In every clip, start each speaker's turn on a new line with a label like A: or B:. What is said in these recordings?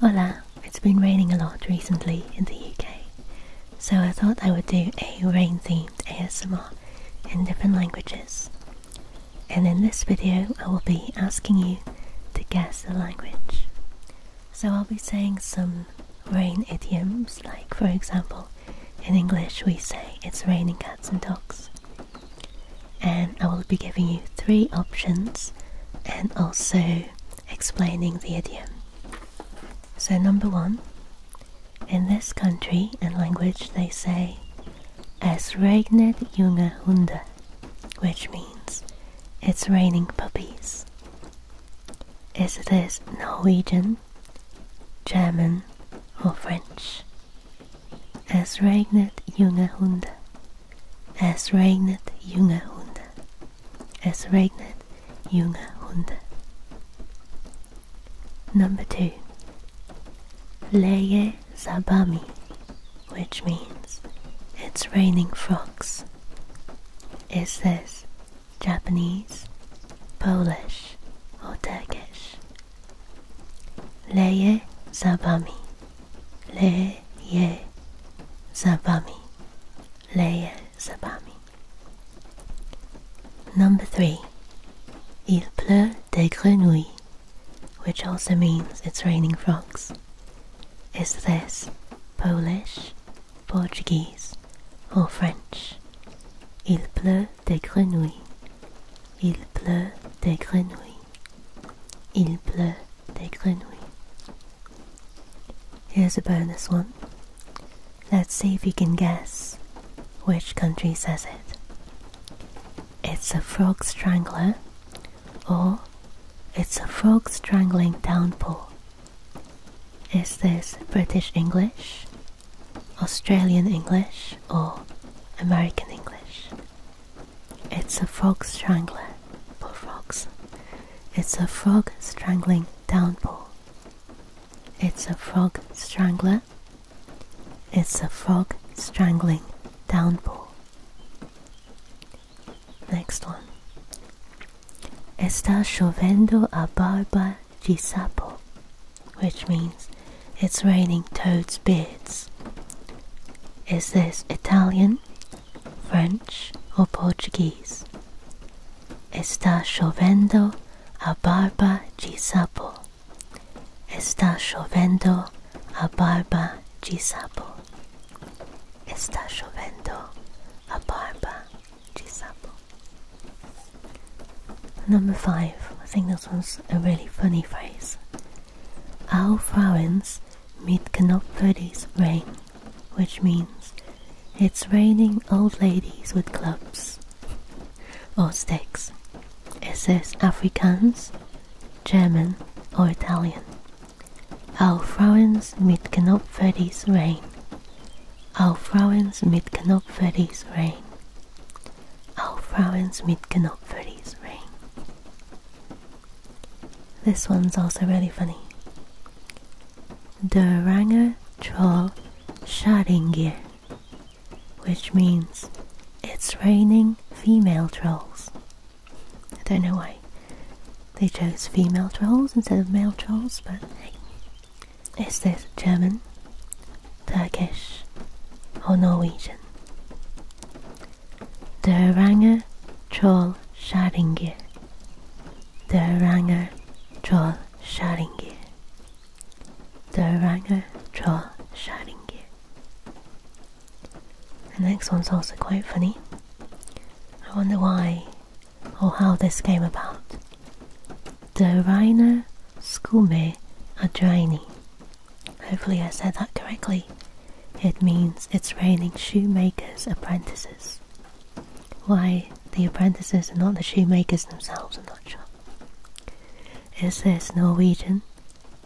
A: Hola, it's been raining a lot recently in the UK, so I thought I would do a rain themed ASMR in different languages. And in this video, I will be asking you to guess the language. So I'll be saying some rain idioms, like for example, in English we say it's raining cats and dogs and I will be giving you three options and also explaining the idiom. So, number one, in this country and language, they say, Es regnet junge Hunde, which means it's raining puppies. Is this Norwegian, German, or French? Es regnet junge Hunde Es regnet young Hunde. Es regnet young Hunde. Number two. Leye Zabami, which means it's raining frogs. Is this Japanese, Polish, or Turkish. Leye Zabami leje za wami, leje za wami. Number three, il pleut des grenouilles, which also means it's raining frogs. Is this Polish, Portuguese, or French? Il pleut des grenouilles. Il pleut des grenouilles. Il pleut des grenouilles. Here's a bonus one. Let's see if you can guess which country says it. It's a frog strangler, or it's a frog strangling downpour. Is this British English, Australian English, or American English? It's a frog strangler. Bullfrogs. It's a frog strangling downpour. It's a frog strangler. It's a frog strangling downpour. Next one. Está chovendo a barba de sapo, which means it's raining toad's beards. Is this Italian, French, or Portuguese? Está chovendo a barba de sapo. Está chovendo a barba de sapo. Está chovendo a barba de sapo. Number five. I think this one's a really funny phrase. Our florins meet Canopferdi's rain, which means it's raining old ladies with clubs or sticks. It says Afrikaans, German, or Italian. Our florins meet Canopferdi's rain. Our florins meet Canopferdi's rain. Auch Frauens mit Knopf for these This one's also really funny. Der Range Troll Schadingir, which means it's raining female trolls. I don't know why they chose female trolls instead of male trolls, but hey. Is this German? Turkish, or Norwegian. The Döranger Troll Sharingir. Döranger Troll The Döranger Troll Sharingir. The next one's also quite funny. I wonder why or how this came about. The Dörainer Skume Adraini. Hopefully, I said that correctly. It means it's raining shoemakers' apprentices. Why the apprentices and not the shoemakers themselves, I'm not sure. Is this Norwegian,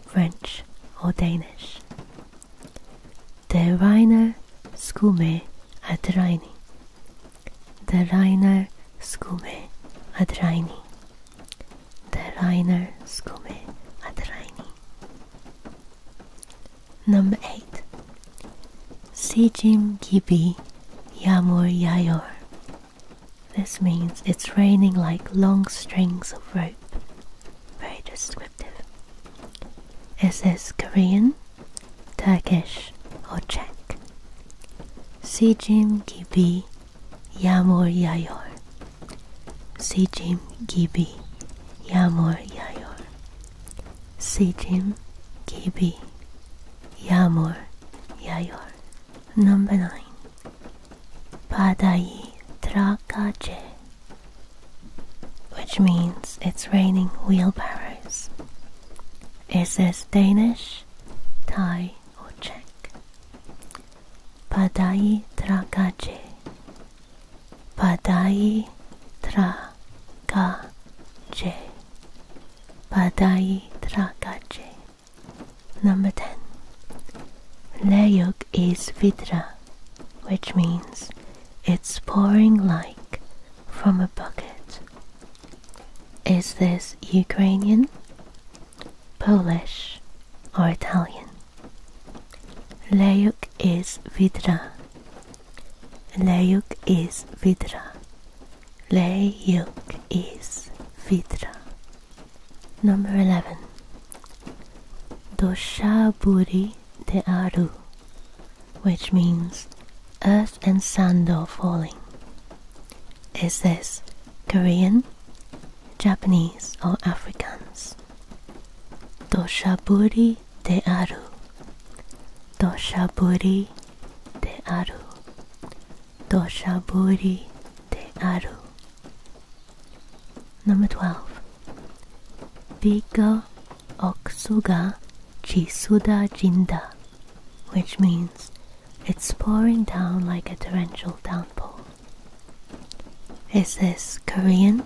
A: French, or Danish? The skumme Reiner Skume The Der skumme Skume Adraini the Rainer Skume Adraini. Number 8 Sijim Gibi Yamur Yayor. This means it's raining like long strings of rope. Very descriptive. Is this Korean, Turkish, or Czech? Sijim Gibi Yamor Yayor Sejim Gibi Yamor Yayor Sejim Gibi Yamor Yayor Number 9 Padai Trakache which means it's raining wheelbarrows. Is this Danish, Thai or Czech? Padai tragaje. Padai tragaje. Padai tragaje. Number 10. Layuk is vidra, which means it's pouring like from a bucket. Is this Ukrainian? Polish, or Italian. Leuk is vidra. Leuk is vidra. Leuk is vidra. Number 11. Doshaburi de which means earth and sand are falling. Is this Korean, Japanese, or Africans? Toshaburi de aru. Toshaburi de aru. Toshaburi de aru. Number 12. Bigo Oksuga Chisuda Jinda, which means it's pouring down like a torrential downpour. Is this Korean,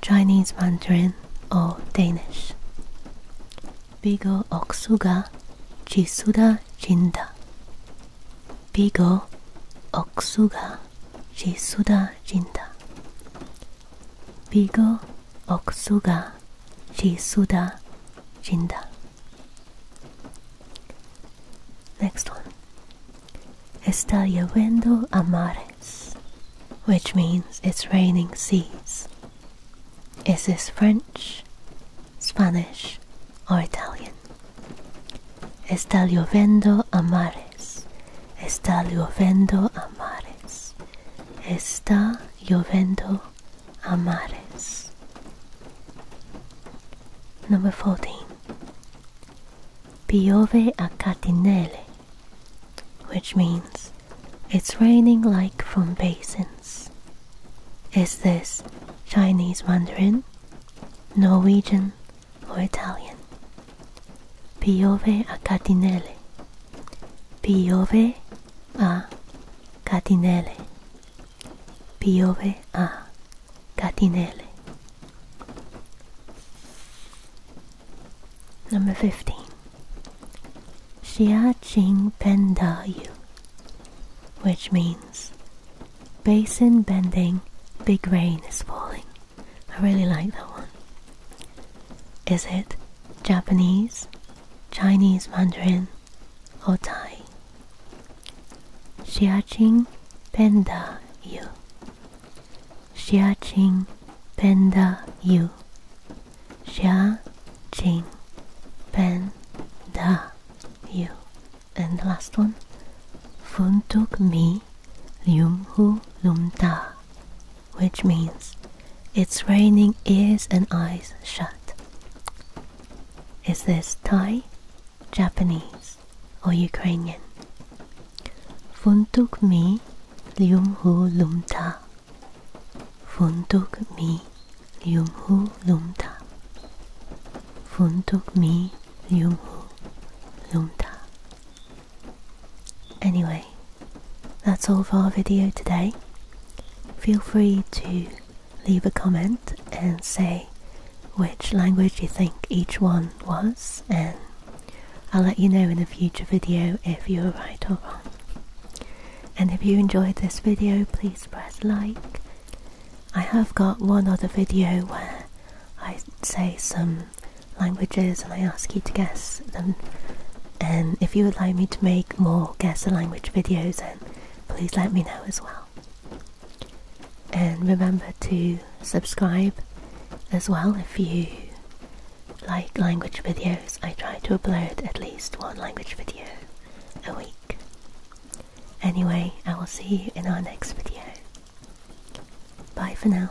A: Chinese Mandarin, or Danish? Bigo oksuga chisuda jinda. Bigo oksuga chisuda jinda. Bigo oksuga Jisuda Jinda. Next one. Está lloviendo a mares, which means it's raining seas. Is this French, Spanish, or Italian? Está lloviendo a mares. Está lloviendo a mares. Está lloviendo Amares. Number 14. Piove a catinelle, which means it's raining like from basins. Is this Chinese Mandarin, Norwegian, or Italian? Piove a catinelle. Piove a Catinelle. Piove a Catinelle. Number 15. Xia Jing Pendayu, which means basin bending, big rain is falling. I really like that one. Is it Japanese, Chinese Mandarin, or die. Xiaqing Panda you. Xiaqing benda you. Xiaqing benda you. And the last one. Funtuk mi lium hu lum ta, which means it's raining ears and eyes shut. Is this Thai, Japanese, or Ukrainian? Funtuk mi lium hu lum ta. Funtuk mi lium hu lum ta. Funtuk mi lium hu lum ta. Anyway, that's all for our video today. Feel free to leave a comment and say which language you think each one was and I'll let you know in a future video if you are right or wrong. And if you enjoyed this video, please press like. I have got one other video where I say some languages and I ask you to guess them and if you would like me to make more guess the language videos then please let me know as well and remember to subscribe as well if you like language videos I try to upload at least one language video a week anyway I will see you in our next video bye for now